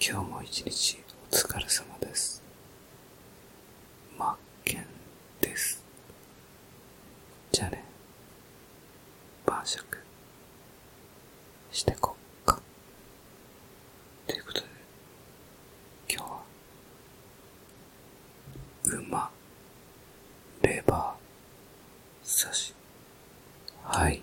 今日も一日お疲れ様です。まっけんです。じゃあね、晩酌してこっか。ということで、今日は、馬、レバー、刺し、はい。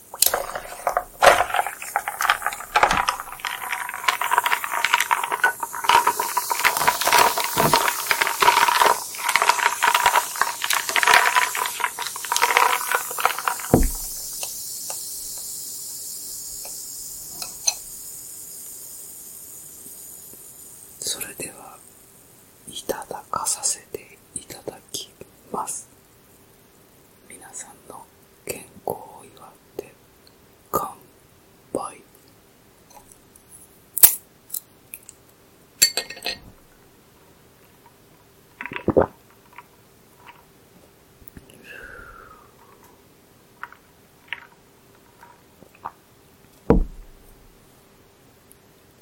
それでは、いただかさせていただきます。皆さんの健康を祝って乾杯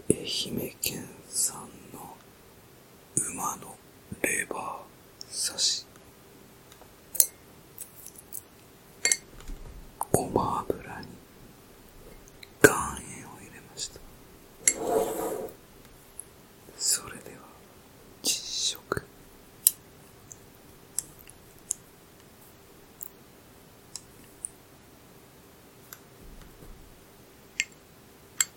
愛媛県産の馬のレバー刺し、ごま油に岩塩を入れました。それでは、実食。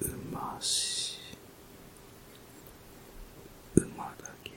うまし馬だけに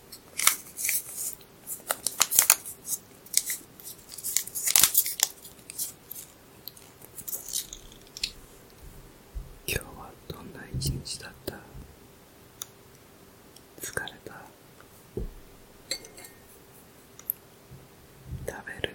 今日はどんな一日だった疲れた食べる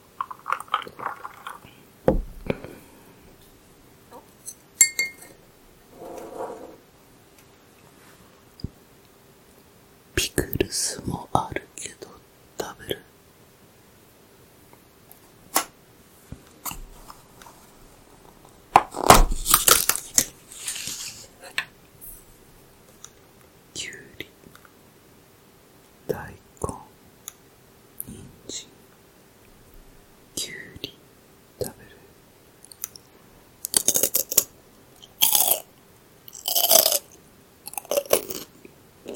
ピクルスもあるけど食べるきゅうり大根人参きゅうり食べる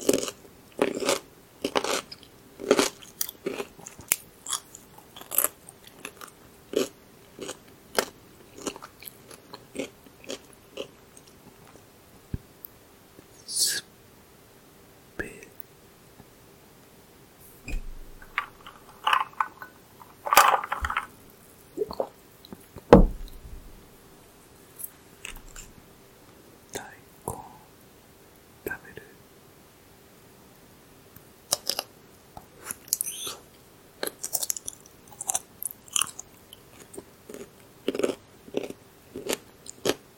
すっぺ大根食べる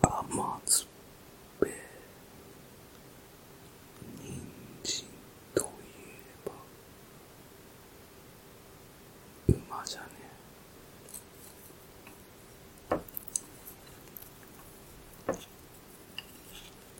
甘酸っぱい人参といえば馬じゃねえ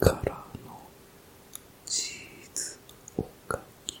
からのチーズおかき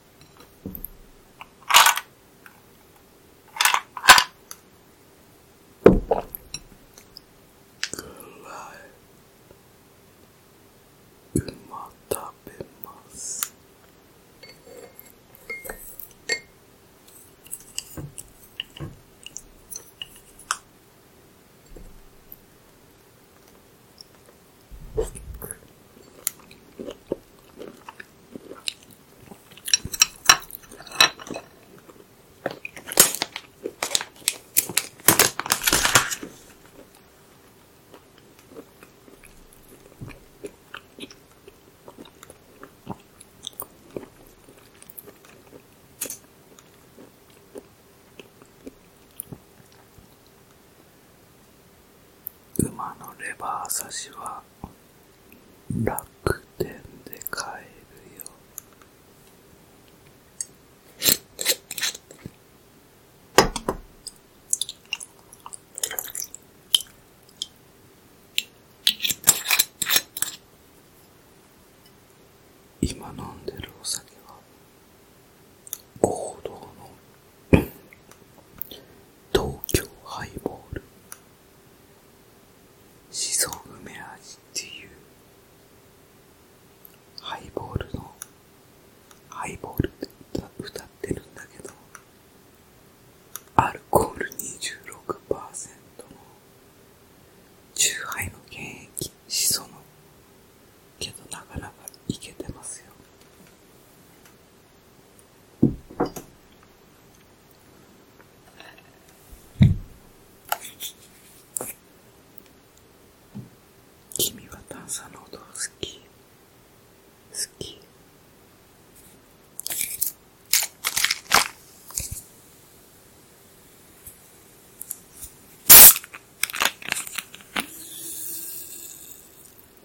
らえ。ま食べます馬のレバー差しは楽天で買えるよ。今飲んでるお酒は行動の東京ハイボールしそ梅味っていうハイボールのハイボールで歌ってるんだけどアルコール26%のチューハイの原液しそのけどなかなかいけてますよ君は炭酸の音が好き好き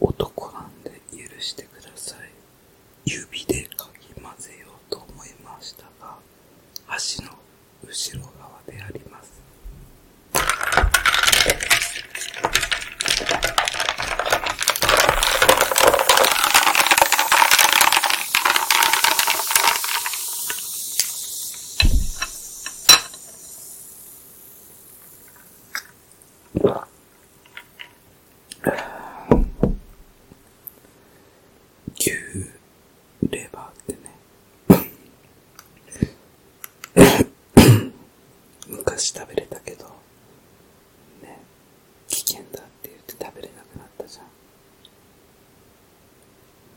男なんで許してください。指でかき混ぜようと思いましたが、足の後ろ側であります。牛レバーってね昔食べれたけど、ね、危険だって言って食べれなくなったじゃん。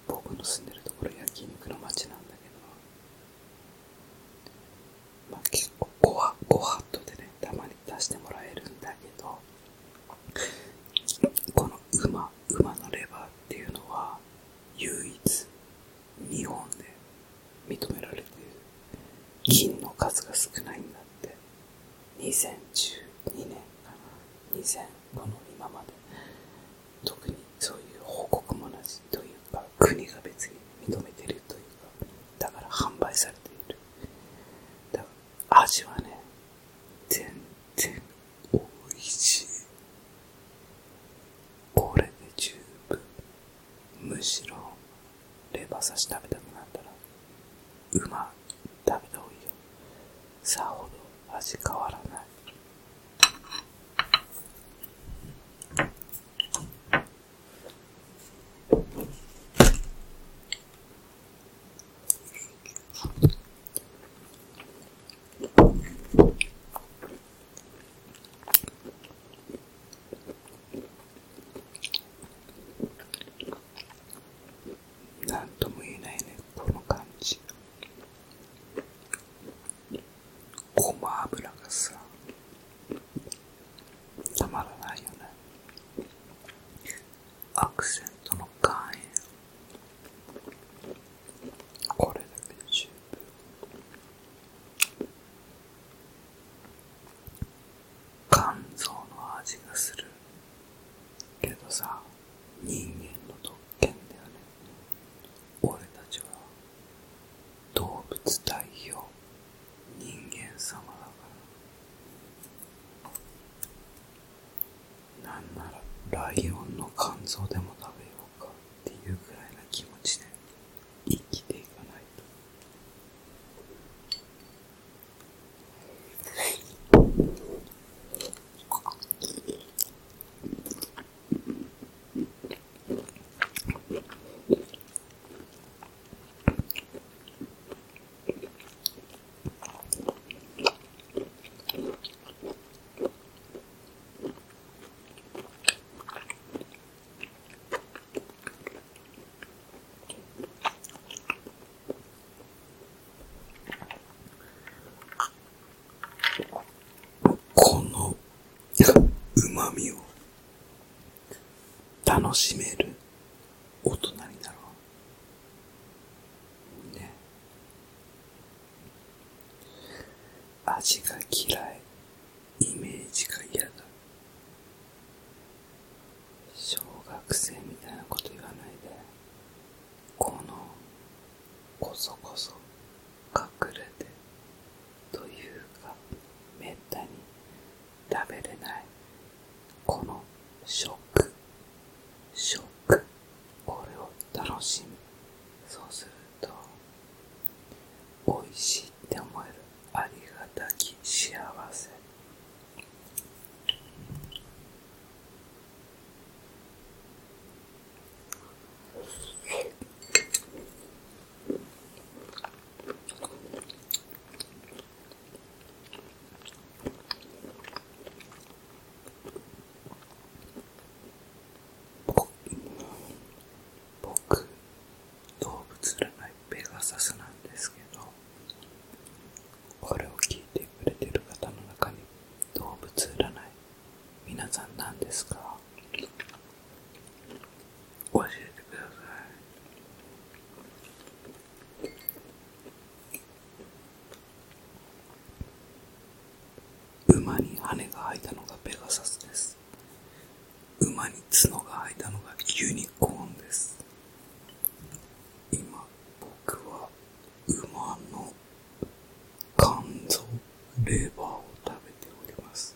僕の住んでるところ焼肉の街なんだけど、まあ、結構ごは、ごはっとでね、たまに出してもらえるんだけど、この馬、馬のレバーっていうのは、唯一、日本で認められている。銀の数が少ないんだって。2012年かな。2000、この今まで。特にそういう報告もなしというか、国が別に認めてるというか、だから販売されている。味はね、全然美味しい。これで十分。むしろ、レバ刺し食べたくなったら、うま食べた方がいいよ。さほど味変わらない。なんとも言えないね、この感じ。ごま油がさ、たまらないよねアクセントの岩塩これだけで十分肝臓の味がするけどさ人間の特権だよね俺たちは動物代表人間様だからなんならライオンの肝臓でも食べようかっていうくらいな気持ちで生きていかないとこの旨味を楽しめる大人になろう。ね。味が嫌い。イメージが嫌だ。小学生みたいなこと言わないで。この、こそこそ、隠れて、というかめったに食べれないこのシショョック。ック。これを楽しむそうすると美味しいって思えるありがたき幸せ僕動物占いペガサスなんですけどこれを聞いてくれてる方の中に動物占い皆さん何ですか教えてください馬に羽が生えたのがペガサスです馬に角が生えたのがユニコーンです今僕は馬の肝臓レバーを食べております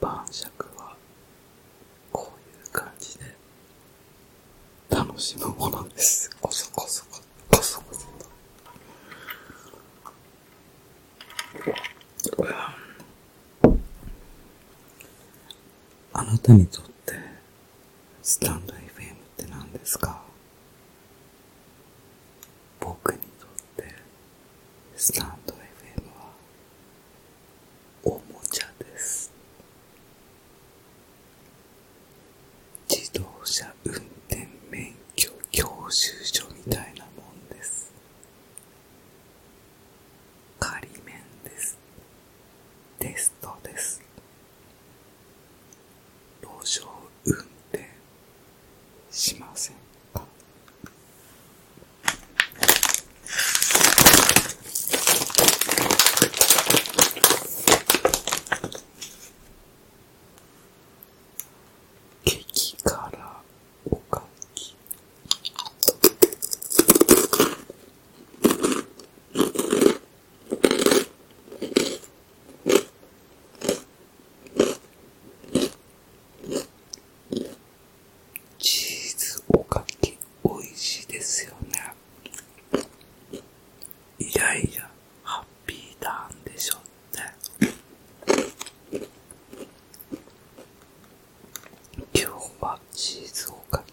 晩酌はこういう感じで楽しむものですあなたにとってスタンド FM って何ですか僕にとってスタンド FM はおもちゃです自動車運転免許教習所みたいなもんです仮免ですテストです路上運転しませんか激辛おかきチーズおかき美味しいですよね。イライラハッピーターンでしょって。今日はチーズおかき。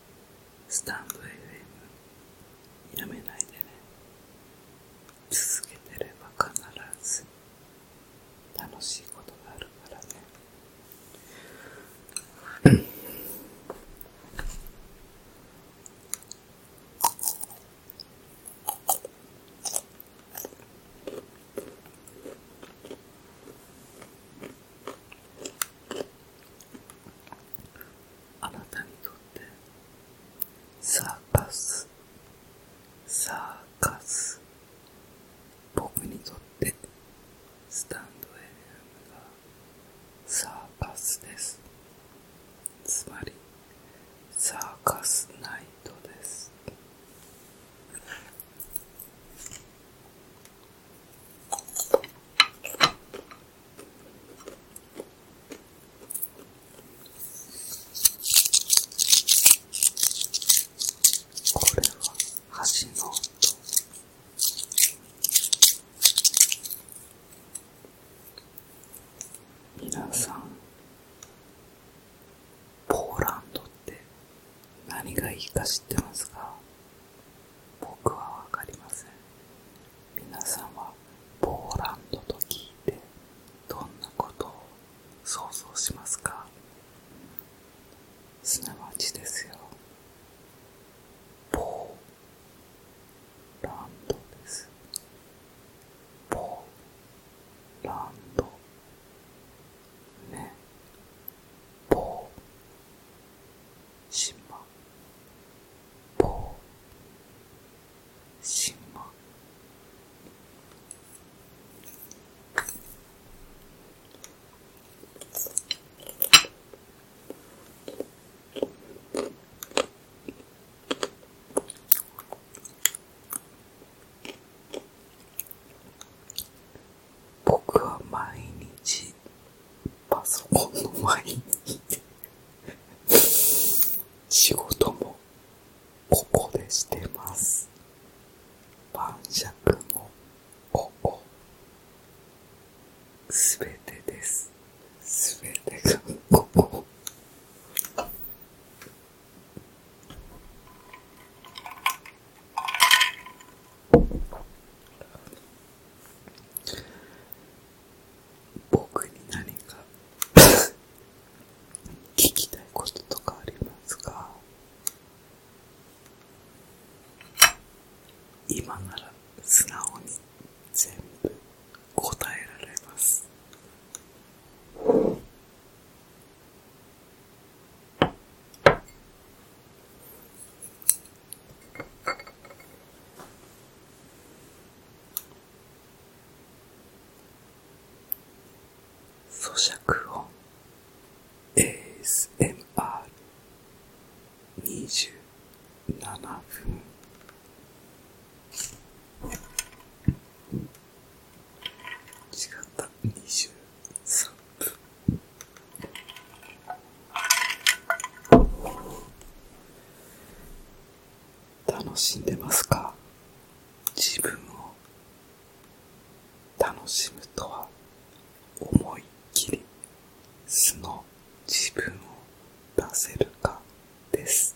スタンド FM やめないでね続けてれば必ず楽しいことがあるからねうん。あなたにとってサーカスサーカス僕にとってスタンド FM がサーカスですつまりサーカスナイトですこれは橋の音皆さんポーランドって何がいいか知ってますか僕はわかりません皆さんはポーランドと聞いてどんなことを想像しますかすなわちですよポーランドですポーランドねポーしましま僕は毎日パソコンの前に仕事もここでしてます晩酌もここすべてですすべてがここ僕に何か 聞きたいこととかありますが。今なら素直に全部答えられますそ咀嚼音 ASMR27 分違った23分楽しんでますか自分を楽しむとは思いっきり素の自分を出せるかです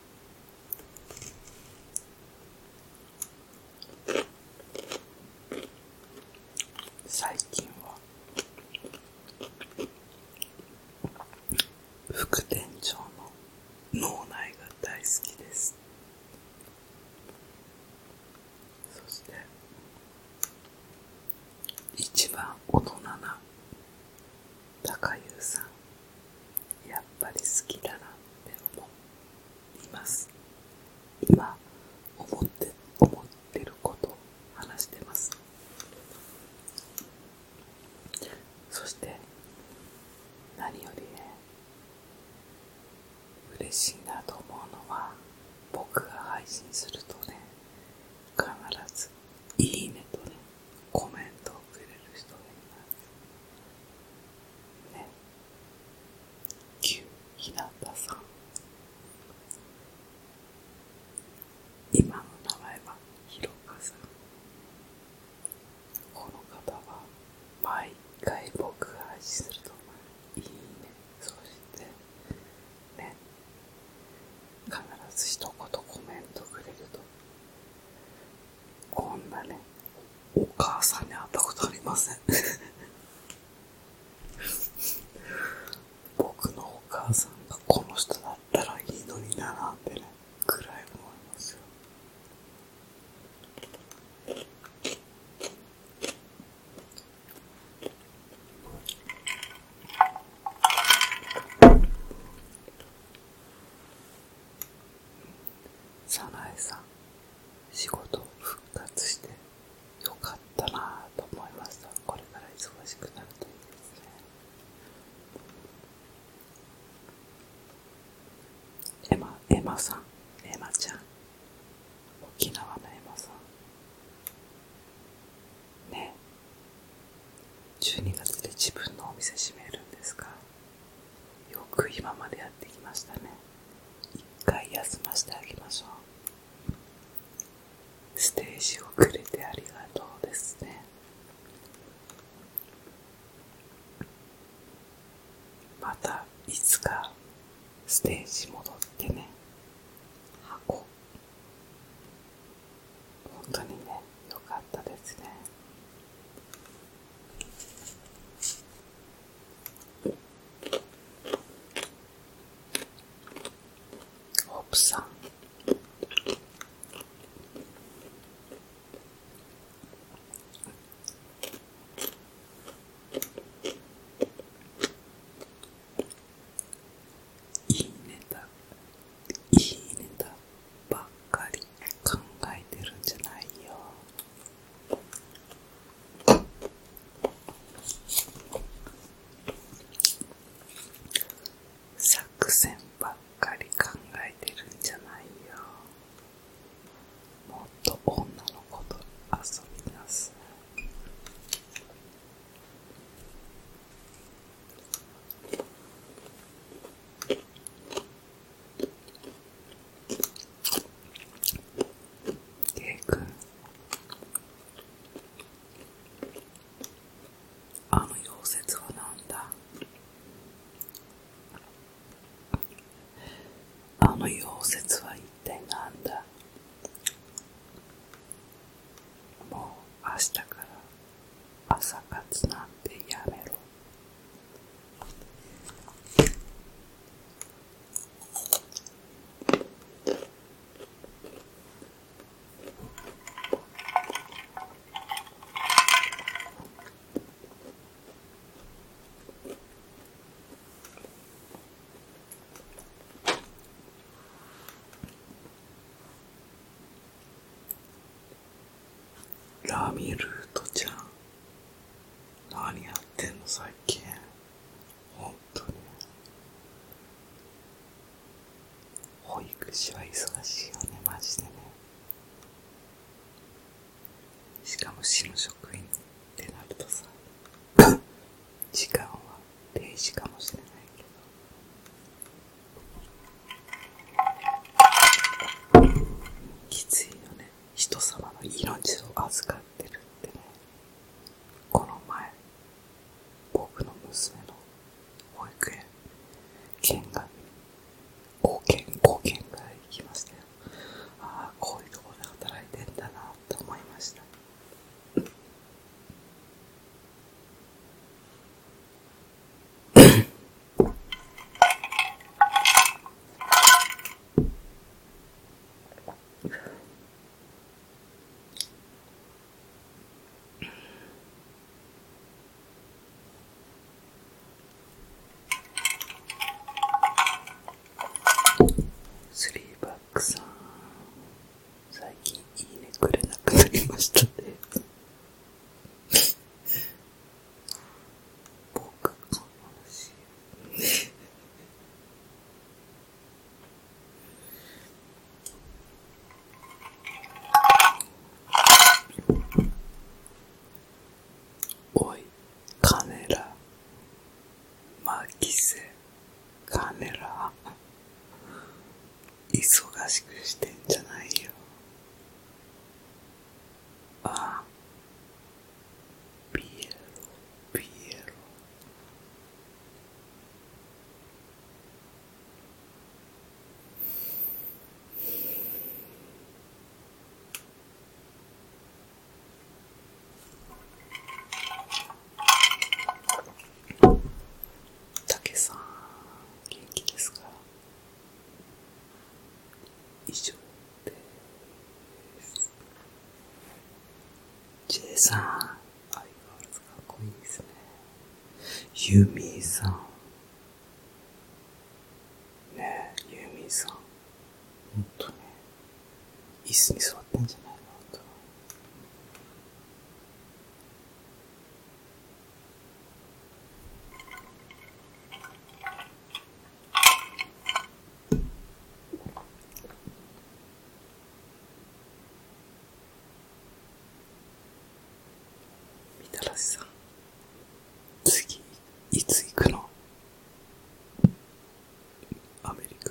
最近は副店長の脳内が大好きですそして一番大人な高優さんやっぱり好きだなって思います今思って思ってること話してますそして何よりね嬉しいなと思うのは僕が配信するとね必ずいいねとね、コメントをくれる人がいます。ね。旧日向さん。今の名前はひろかさん。この方は毎回僕が愛するといいね。そして、ね。必ず一言コメントくれるとこんなね、お母さんに会ったことありません 僕のお母さんがこの人だったらいいのにななんてね、くらい思いますよ。早苗さん仕事復活してよかったなぁと思いましたこれから忙しくなるといいですねエマ、エマさん、エマちゃん沖縄のエマさんね12月で自分のお店閉めるんですかよく今までやってきましたね一回休ませてあげましょうステージをくれてありがとうですねまたいつかステージ戻ってね箱本当にねよかったですねホプさんいいネタいいネタばっかり考えてるんじゃないよ作戦ばっかり考えてるんじゃないよもっと女の子と遊びなさい K 君あの溶接はなんだあの溶接は一体なんだもう明日から朝活なんてやめろ。ラミルートちゃん。何やってんの最近。本当に。保育士は忙しいよね、マジでね。しかも市の職員ってなるとさ、時間は定時かもしれないけど、きついよね人様の命を預かってるってねこの前僕の娘の保育園県が5軒5軒ぐら行きましたよああこういうとこで働いてんだなって思いましたスリーバックさん最近いいねくれなくなりましたね僕の話おいカネラマキセカネラ忙しくしてんじゃないよああピエロピエロたけさん、元気ですか以上です。J さん、相変わらずかっこいいですね。ユーミさん。ねえ、ユミさん。ほんとね、椅子に座ってんじゃないかなと。みたらしさん次いつ行くのアメリカ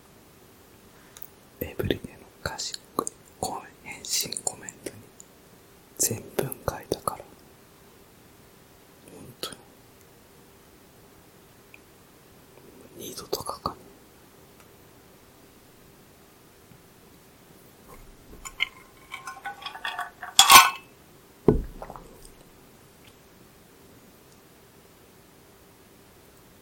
ウェブリネの賢い返信コメントに全文書いたから。本当に。二度と書かない。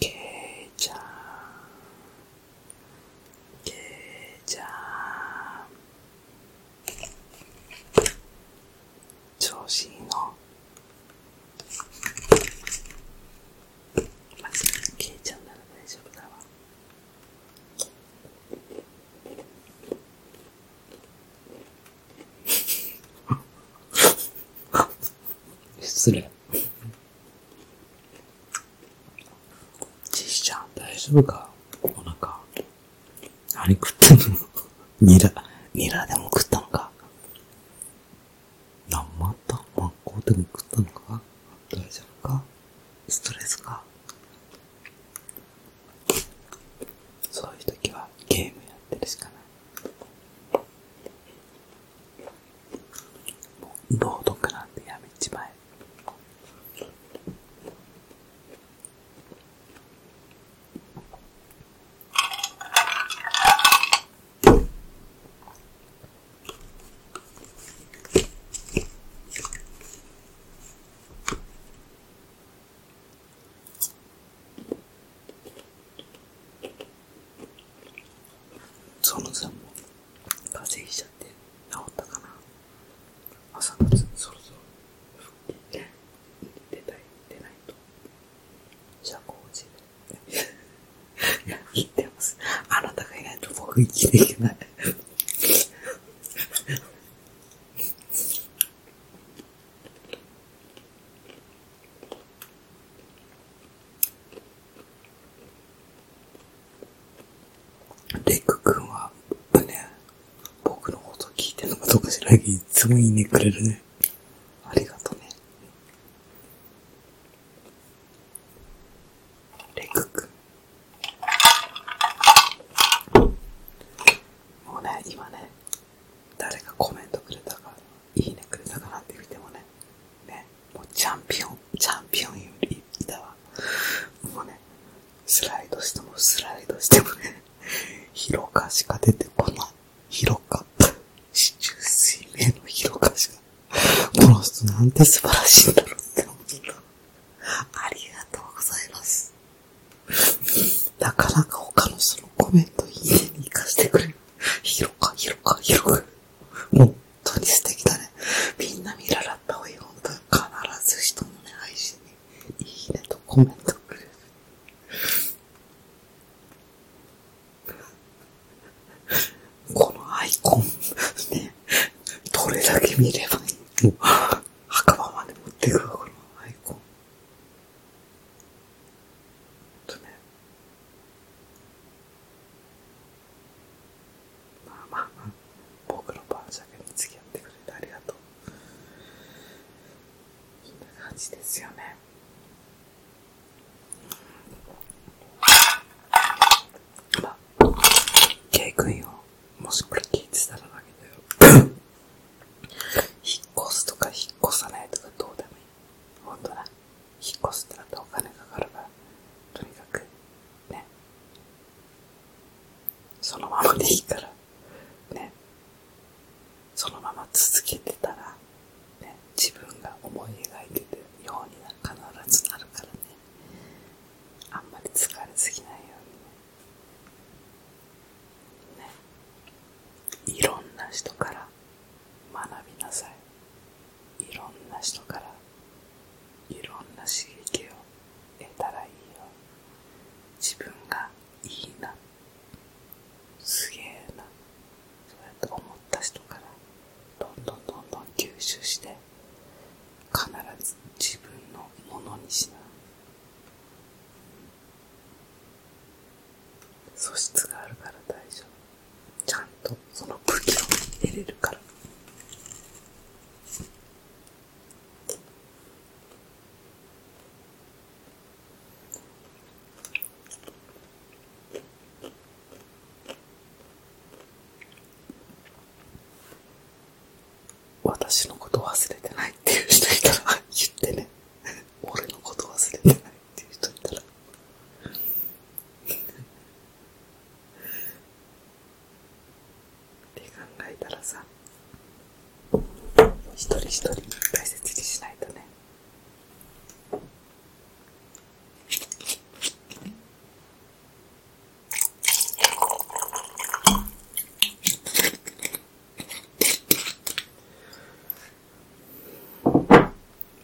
けいちゃんけいちゃん調子のまず、ちゃうなら大丈夫だわ。失礼。ちしちゃん、大丈夫かお腹。何食ったんのニラ、ニラでも食ったのか。な、また真っ向でも食ったのか大丈夫かストレスかそういう時はゲームやってるしかない。もう朗読なんてやめちまえ。そのさんも風邪ひいゃって治ったかな朝活そろそろ復帰出出ないと社交辞令いや、言ってます。あなたがいないと僕生きていけないレック君は、僕のこと聞いてるのかどこか知らないいつもいいねくれるね。ありがとね。レク君。もうね、今ね、誰かコメントくれたか、いいねくれたかなって見てもね、ね、もうチャンピオン、チャンピオンよりいたわ。もうね、スライドしてもスライドしてもね、広かしか出てこない。広か。四中水明の広かしか。この人なんて素晴らしいんだろうって思った。ありがとうございます。なかなか他の人のコメントいいねに活かしてくれる。広か、広か、広か。もう、本当に素敵だね。みんな見習った方がいい。本当に必ず人のね、配信にいいねとコメントくれる。このアイコン ね、どれだけ見ればいいの 墓場まで持ってくわ、このアイコン。とね。まあまあまあ、僕の晩酌に付き合ってくれてありがとう。そんな感じですよね。まあ、ケイ君よ、もしこれ聞いてたらだけどよ。引っ越すとか引っ越さないとかどうでもいい。ほんとな。引っ越すってなったらお金かかるから、とにかく、ね。そのままでいいから、ね。そのまま続けてたら、ね、自分が思い描いてるようには必ずなるからね。あんまり疲れすぎないようにね。いろんな人から学びなさい。いろんな人からいろんな刺激を得たらいいよ。自分がいいなすげえなそうやって思った人からどんどんどんどん吸収して必ず自分のものにしな素質があるから大丈夫ちゃんとその武器を得れるから私のこと忘れてないっていう人いたら言ってね俺のこと忘れてないっていう人いたらって考えたらさ一人一人大切にしないとね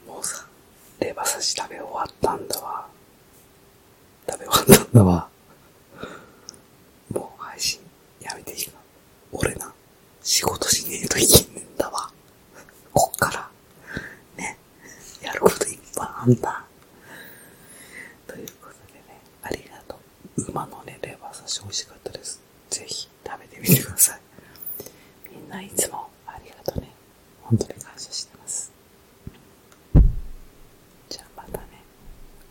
もうさ、レバ刺し食べ終わったんだわ。食べ終わったんだわ。もう配信やめていいか。俺な。仕事しねえといいんだわ。こっから、ね、やることいっぱいあんだ。ということでね、ありがとう。馬のね、レバー刺し美味しかったです。ぜひ食べてみてください。みんないつもありがとうね。本当に感謝してます。じゃあまたね、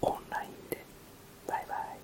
オンラインで。バイバイ。